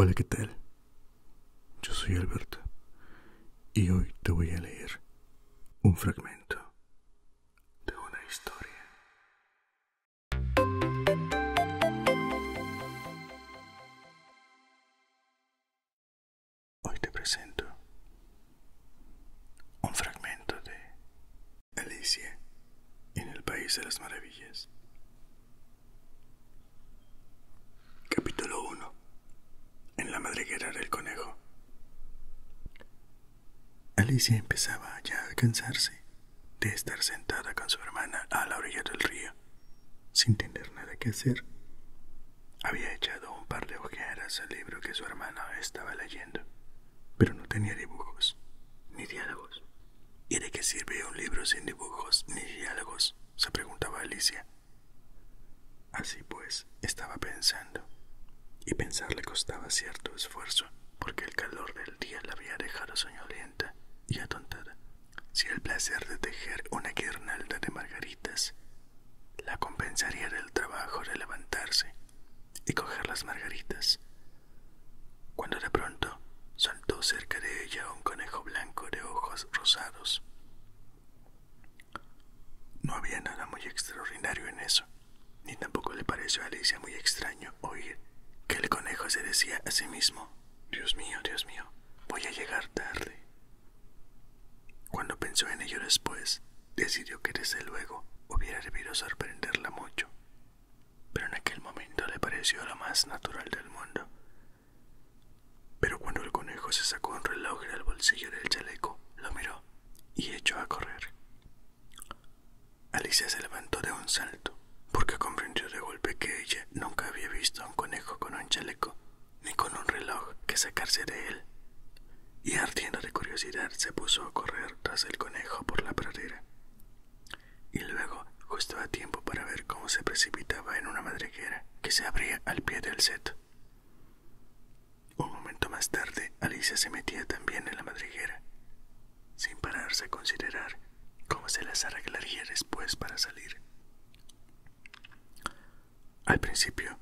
Hola, ¿qué tal? Yo soy Alberto y hoy te voy a leer un fragmento. de una historia. Hoy te presento un fragmento de Alicia en el País de las Maravillas. Capítulo 1. En la madriguera del conejo. Alicia empezaba ya a cansarse de estar sentada con su hermana a la orilla del río, sin tener nada que hacer. Había echado un par de ojeras al libro que su hermana estaba leyendo, pero no tenía dibujos ni diálogos. ¿Y de qué sirve un libro sin dibujos ni diálogos? se preguntaba Alicia. Así pues, estaba pensando y pensar le costaba cierto esfuerzo, porque el calor del día la había dejado soñolienta y atontada. Si el placer de tejer una guirnalda de margaritas la compensaría del trabajo de levantarse y coger las margaritas, cuando de pronto saltó cerca de ella un conejo blanco de ojos rosados. No había nada muy extraordinario en eso. Ni tampoco le pareció a Alicia muy extraño oír que el conejo se decía a sí mismo, Dios mío, Dios mío, voy a llegar tarde. Cuando pensó en ello después, decidió que desde luego hubiera debido sorprenderla mucho, pero en aquel momento le pareció lo más natural del mundo. Pero cuando el conejo se sacó un reloj del bolsillo del chaleco, lo miró y echó a correr. Alicia se levantó de un salto, porque comprendió de golpe que ella nunca había visto a un conejo con un chaleco, ni con un reloj que sacarse de él, y ardiendo de curiosidad se puso a correr tras el conejo por la pradera. Y luego, justo a tiempo para ver cómo se precipitaba en una madriguera que se abría al pie del set. Un momento más tarde, Alicia se metía también en la madriguera, sin pararse a considerar cómo se las arreglaría después para salir. Al principio,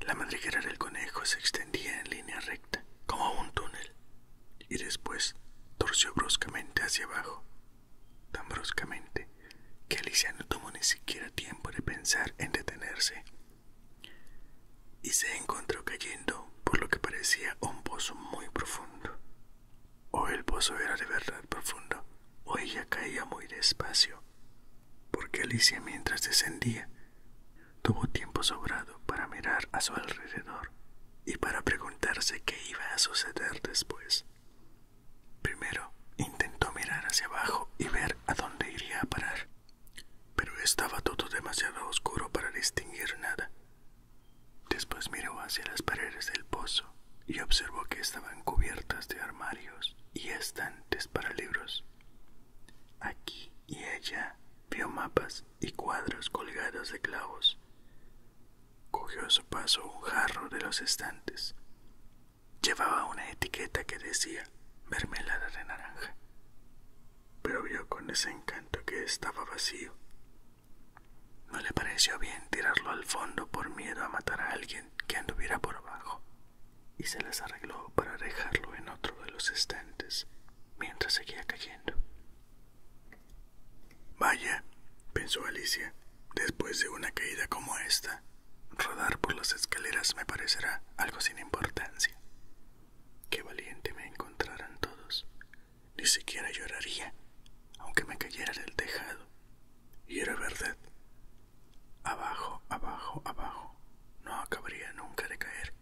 la madriguera del conejo se extendía en línea recta, como un túnel, y después torció bruscamente hacia abajo, tan bruscamente que Alicia no tomó ni siquiera tiempo de pensar en detenerse y se encontró cayendo por lo que parecía un pozo muy profundo. O el pozo era de verdad profundo, o ella caía muy despacio, porque Alicia mientras descendía tuvo tiempo sobrado para mirar a su alrededor y para preguntarse qué iba a suceder después. Primero intentó mirar hacia abajo y ver a dónde iría a parar pero estaba todo demasiado oscuro para distinguir nada. Después miró hacia las paredes del pozo y observó que estaban cubiertas de armarios y estantes para libros. Aquí y allá vio mapas y cuadros colgados de clavos. Cogió a su paso un jarro de los estantes. Llevaba una etiqueta que decía mermelada de naranja pero vio con desencanto que estaba vacío. No le pareció bien tirarlo al fondo por miedo a matar a alguien que anduviera por abajo, y se las arregló para dejarlo en otro de los estantes mientras seguía cayendo. Vaya, pensó Alicia, después de una caída como esta, rodar por las escaleras me parecerá algo sin importancia. Qué valiente me encontraran todos. Ni siquiera lloraría, aunque me cayera del tejado. Y era verdad. Abajo, abajo, abajo. No acabaría nunca de caer.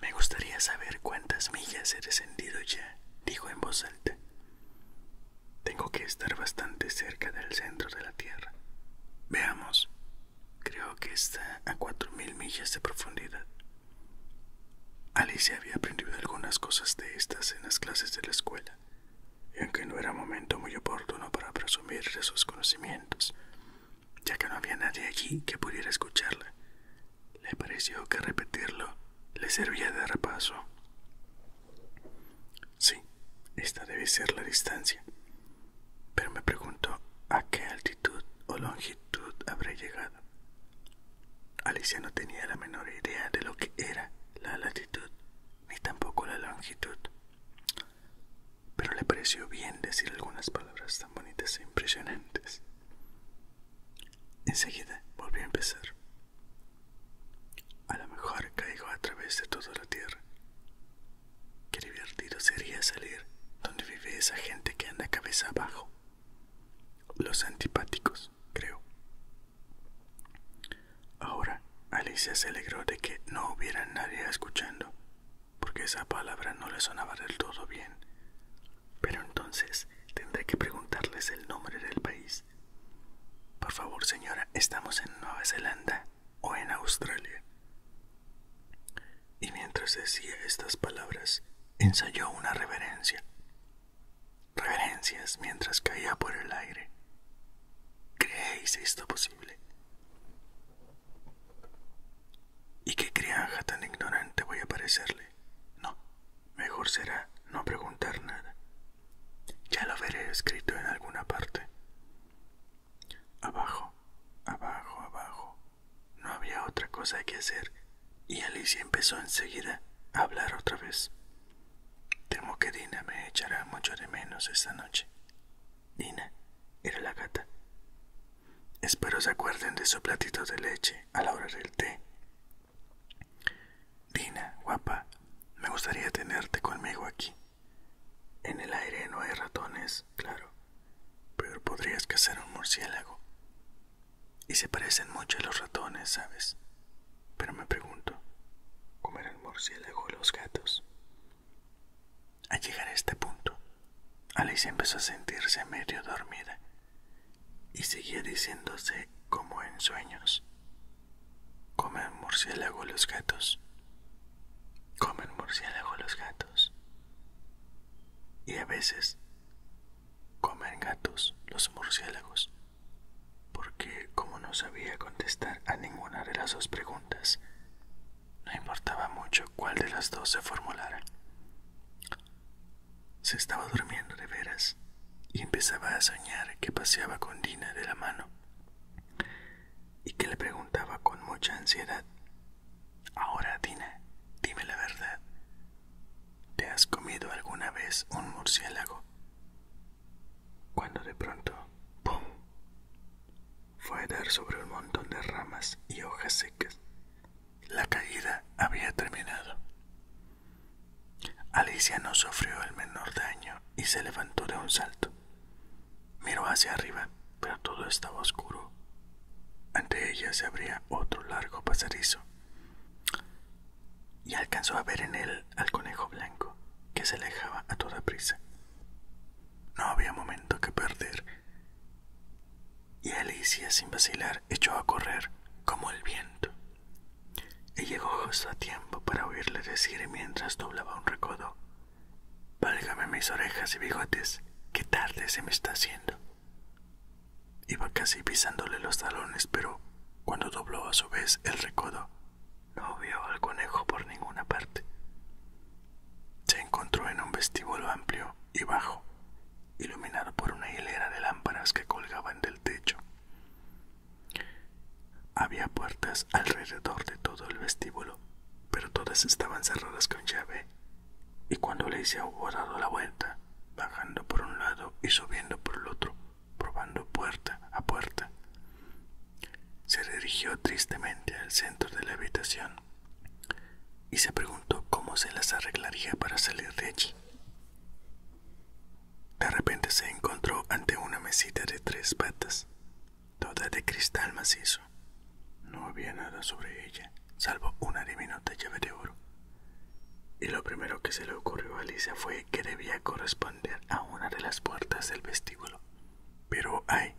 Me gustaría saber cuántas millas he descendido ya, dijo en voz alta. Tengo que estar bastante cerca del centro de la Tierra. Veamos, Creo que está a cuatro mil millas de profundidad. Alicia había aprendido algunas cosas de estas en las clases de la escuela, y aunque no era momento muy oportuno para presumir de sus conocimientos, ya que no había nadie allí que pudiera escucharla, le pareció que repetirlo le servía de repaso. Sí, esta debe ser la distancia, pero me pregunto a qué altitud o longitud habré llegado. Alicia no tenía la menor idea de lo que era la latitud, ni tampoco la longitud, pero le pareció bien decir algunas palabras tan bonitas e impresionantes. Enseguida volvió a empezar. A lo mejor caigo a través de toda la tierra, Qué divertido sería salir donde vive esa gente que anda cabeza abajo. Los antipáticos, creo. Ahora, Alicia se alegró de que no hubiera nadie escuchando, porque esa palabra no le sonaba del todo bien. Pero entonces tendré que preguntarles el nombre del país. Por favor, señora, estamos en Nueva Zelanda o en Australia. Y mientras decía estas palabras, ensayó una reverencia. Reverencias mientras caía por el aire. ¿Creéis esto posible? ¿Y qué crianja tan ignorante voy a parecerle? No, mejor será no preguntar nada. Ya lo veré escrito en alguna parte. Abajo, abajo, abajo. No había otra cosa que hacer, y Alicia empezó enseguida a hablar otra vez. Temo que Dina me echará mucho de menos esta noche. Dina era la gata. Espero se acuerden de su platito de leche a la hora del té. Dina, guapa, me gustaría tenerte conmigo aquí. En el aire no hay ratones, claro, pero podrías cazar un murciélago. Y se parecen mucho a los ratones, ¿sabes? Pero me pregunto, el murciélago los gatos? Al llegar a este punto, Alicia empezó a sentirse medio dormida y seguía diciéndose como en sueños. Comen murciélago los gatos. Comen murciélagos los gatos. Y a veces comen gatos los murciélagos. Porque como no sabía contestar a ninguna de las dos preguntas, no importaba mucho cuál de las dos se formulara. Se estaba durmiendo de veras y empezaba a soñar que paseaba con Dina de la mano y que le preguntaba con mucha ansiedad Ahora, Dina, dime la verdad. ¿Te has comido alguna vez un murciélago? Cuando de pronto, ¡pum! fue a dar sobre un montón de ramas y hojas secas. La caída había terminado. Alicia no sufrió el menor daño y se levantó de un salto. Miró hacia arriba, pero todo estaba oscuro. Ante ella se abría otro largo pasadizo. Y alcanzó a ver en él al conejo blanco, que se alejaba a toda prisa. No había momento que perder. Y Alicia, sin vacilar, echó a correr como el viento. Y llegó justo a tiempo para oírle decir mientras doblaba un recodo. Válgame mis orejas y bigotes, qué tarde se me está haciendo. Iba casi pisándole los talones, pero cuando dobló a su vez el recodo, no vio al conejo por ninguna parte. Se encontró en un vestíbulo amplio y bajo, iluminado por una hilera de lámparas que colgaban del techo. Había puertas alrededor de todo el vestíbulo pero todas estaban cerradas con llave, y cuando le hubo dado la vuelta, bajando por un lado y subiendo por el otro, probando puerta a puerta, se dirigió tristemente al centro de la habitación y se preguntó cómo se las arreglaría para salir de allí. De repente se encontró ante una mesita de tres patas, toda de cristal macizo. No había nada sobre ella, salvo una diminuta llave de oro. Y lo primero que se le ocurrió a Alicia fue que debía corresponder a una de las puertas del vestíbulo. Pero ay,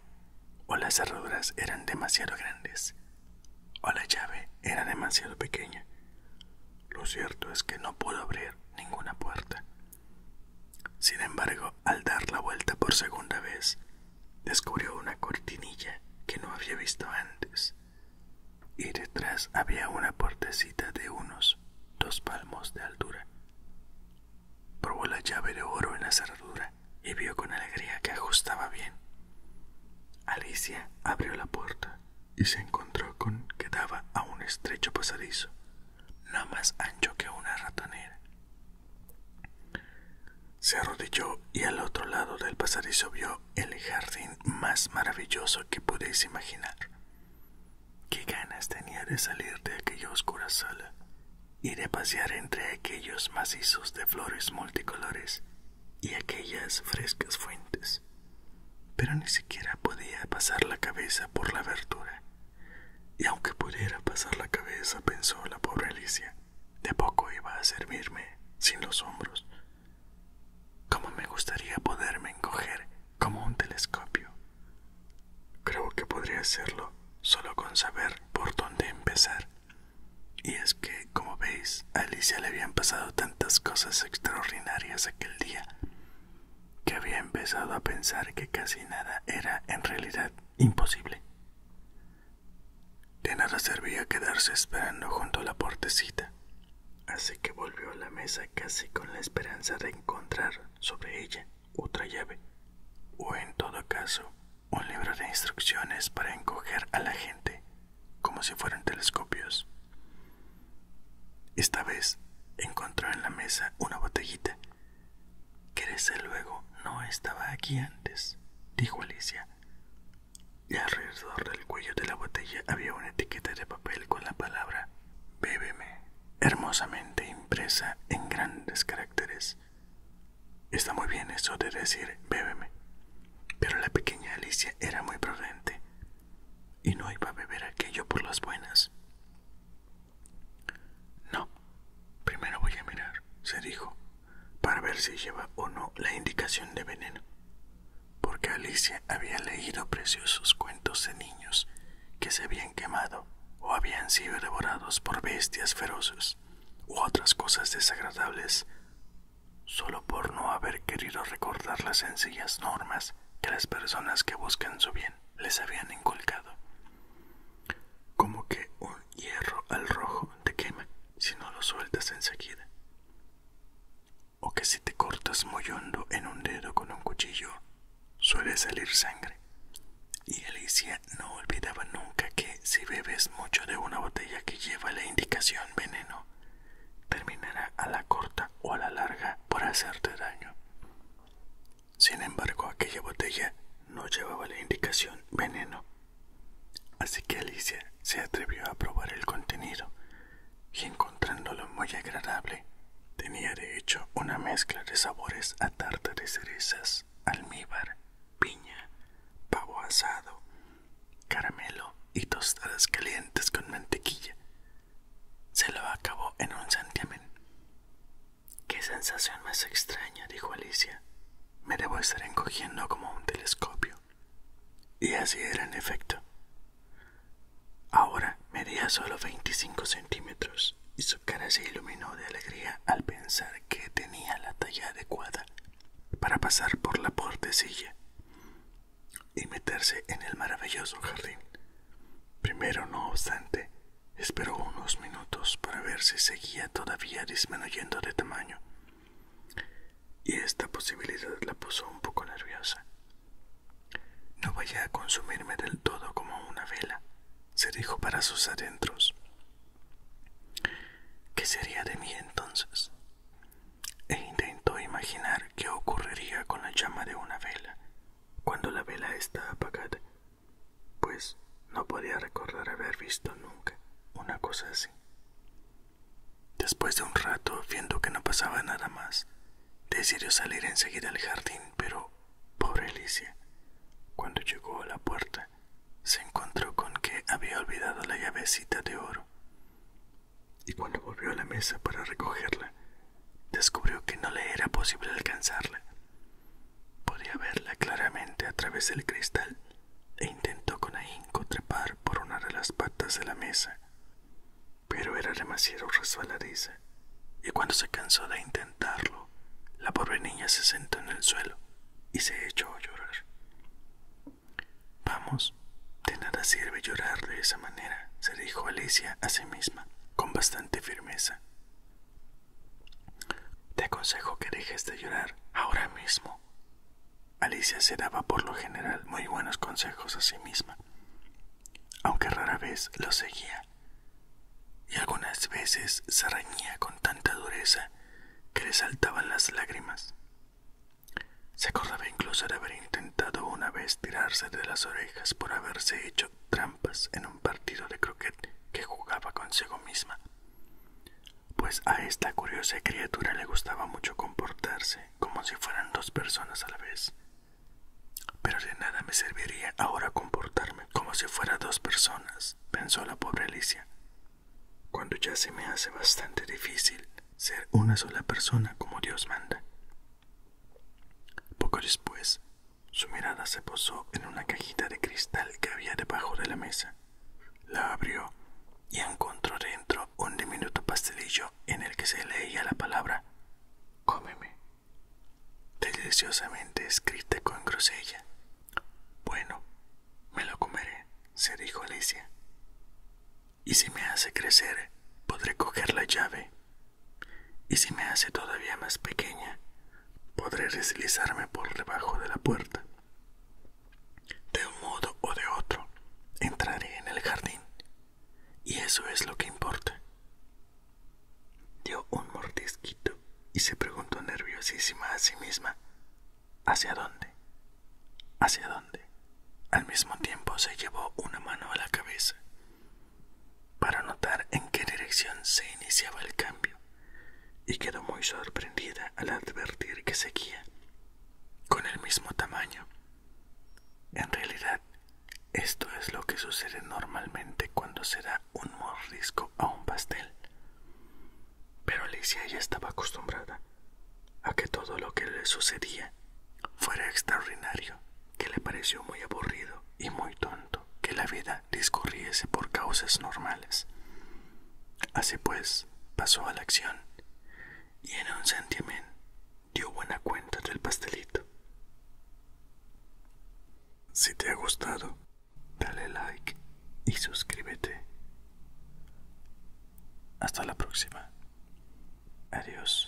o las cerraduras eran demasiado grandes, o la llave era demasiado pequeña. Lo cierto es que no pudo abrir ninguna puerta. Sin embargo, al dar la vuelta por segunda vez, descubrió una cortinilla que no había visto antes, y detrás había una puertecita de unos dos palmos de altura. Probó la llave de oro en la cerradura y vio con alegría que ajustaba bien. Alicia abrió la puerta y se encontró con que daba a un estrecho pasadizo, no más ancho que una ratonera, se arrodilló y al otro lado del pasadizo vio el jardín más maravilloso que podéis imaginar. Qué ganas tenía de salir de aquella oscura sala y de pasear entre aquellos macizos de flores multicolores y aquellas frescas fuentes. Pero ni siquiera podía pasar la cabeza por la abertura y aunque pudiera pasar la cabeza, pensó la pobre Alicia, de poco iba a servirme sin los hombros. ¿Cómo me gustaría poderme encoger como un telescopio? Creo que podría hacerlo solo con saber por dónde empezar. Y es que, como veis, a Alicia le habían pasado tantas cosas extraordinarias aquel día, que había empezado a pensar que casi nada era en realidad imposible. De nada servía quedarse esperando junto a la portecita así que volvió a la mesa casi con la esperanza de encontrar sobre ella otra llave, o en todo caso, un libro de instrucciones para encoger a la gente, como si fueran telescopios. Esta vez encontró en la mesa una botellita crece luego no estaba aquí antes, dijo Alicia. Y alrededor del cuello de la botella había una etiqueta de papel con la palabra Bébeme, hermosamente impresa en grandes caracteres. Está muy bien eso de decir bébeme, pero la pequeña Alicia era muy prudente y no iba a beber aquello por las buenas. No, primero voy a mirar, se dijo, para ver si lleva o no la indicación de veneno, porque Alicia había leído preciosos cuentos de niños que se habían quemado o habían sido devorados por bestias feroces u otras cosas desagradables, solo por no haber querido recordar las sencillas normas que las personas que buscan su bien les habían inculcado como que un hierro al rojo te quema si no lo sueltas enseguida. O que si te cortas muy hondo en un dedo con un cuchillo, suele salir sangre. Y Alicia no olvidaba nunca que si bebes mucho de una botella que lleva la indicación veneno, terminará a la corta o a la larga por hacerte daño. Sin embargo, aquella botella no llevaba la indicación veneno. Así que Alicia se atrevió a probar el contenido y encontrándolo muy agradable, tenía de hecho una mezcla de sabores a tarta de cerezas, almíbar, piña, pavo asado, caramelo y tostadas calientes con mantequilla. Se lo acabó en un santiamén Qué sensación más extraña, dijo Alicia. Me debo estar encogiendo como un telescopio. Y así era en efecto. Ahora medía solo 25 centímetros y su cara se iluminó de alegría al pensar que tenía la talla adecuada para pasar por la puertecilla y meterse en el maravilloso jardín. Primero, no obstante, Esperó unos minutos para ver si seguía todavía disminuyendo de tamaño, y esta posibilidad la puso un poco nerviosa. No vaya a consumirme del todo como una vela, se dijo para sus adentros. ¿Qué sería de mí entonces? E intentó imaginar qué ocurriría con la llama de una vela cuando la vela está apagada pues no podía recordar haber visto nunca una cosa así. Después de un rato, viendo que no pasaba nada más, decidió salir enseguida al jardín, pero pobre Alicia, cuando llegó a la puerta, se encontró con que había olvidado la llavecita de oro. Y cuando volvió a la mesa para recogerla, descubrió que no le era posible alcanzarla, Podía verla claramente a través del cristal e intentó con ahínco trepar por una de las patas de la mesa, pero era demasiado resbaladiza y cuando se cansó de intentarlo, la pobre niña se sentó en el suelo y se echó a llorar. Vamos, de nada sirve llorar de esa manera, se dijo Alicia a sí misma con bastante firmeza. Te aconsejo que dejes de llorar ahora mismo. Alicia se daba por lo general muy buenos consejos a sí misma, aunque rara vez los seguía, y algunas veces se reñía con tanta dureza que le saltaban las lágrimas. Se acordaba incluso de haber intentado una vez tirarse de las orejas por haberse hecho trampas en un partido de croquet que jugaba consigo misma, pues a esta curiosa criatura le gustaba mucho comportarse como si fueran dos personas a la vez. Pero de nada me serviría ahora comportarme como si fuera dos personas, pensó la pobre Alicia, cuando ya se me hace bastante difícil ser una sola persona como Dios manda. Poco después, su mirada se posó en una cajita de cristal que había debajo de la mesa. La abrió y encontró dentro un diminuto pastelillo en el que se leía la palabra cómeme, deliciosamente escrita con grosella. Bueno, me lo comeré, se dijo Alicia. Y si me hace crecer, podré coger la llave y si me hace todavía más pequeña, podré deslizarme por debajo de la puerta. De un modo o de otro, entraré en el jardín, y eso es lo que importa. Dio un mordisquito y se preguntó nerviosísima a sí misma, ¿hacia dónde? ¿Hacia dónde? Al mismo tiempo se llevó una mano a la cabeza para notar en qué dirección se iniciaba el cambio, y quedó muy sorprendida al advertir que seguía con el mismo tamaño. En realidad, esto es lo que sucede normalmente cuando se da un morrisco a un pastel. Pero Alicia ya estaba acostumbrada a que todo lo que le sucedía fuera extraordinario, que le pareció muy aburrido y muy tonto que la vida discurriese por causas normales. Así pues, pasó a la acción, y en un santiamén dio buena cuenta del pastelito. Si te ha gustado, dale like y suscríbete. Hasta la próxima. Adiós.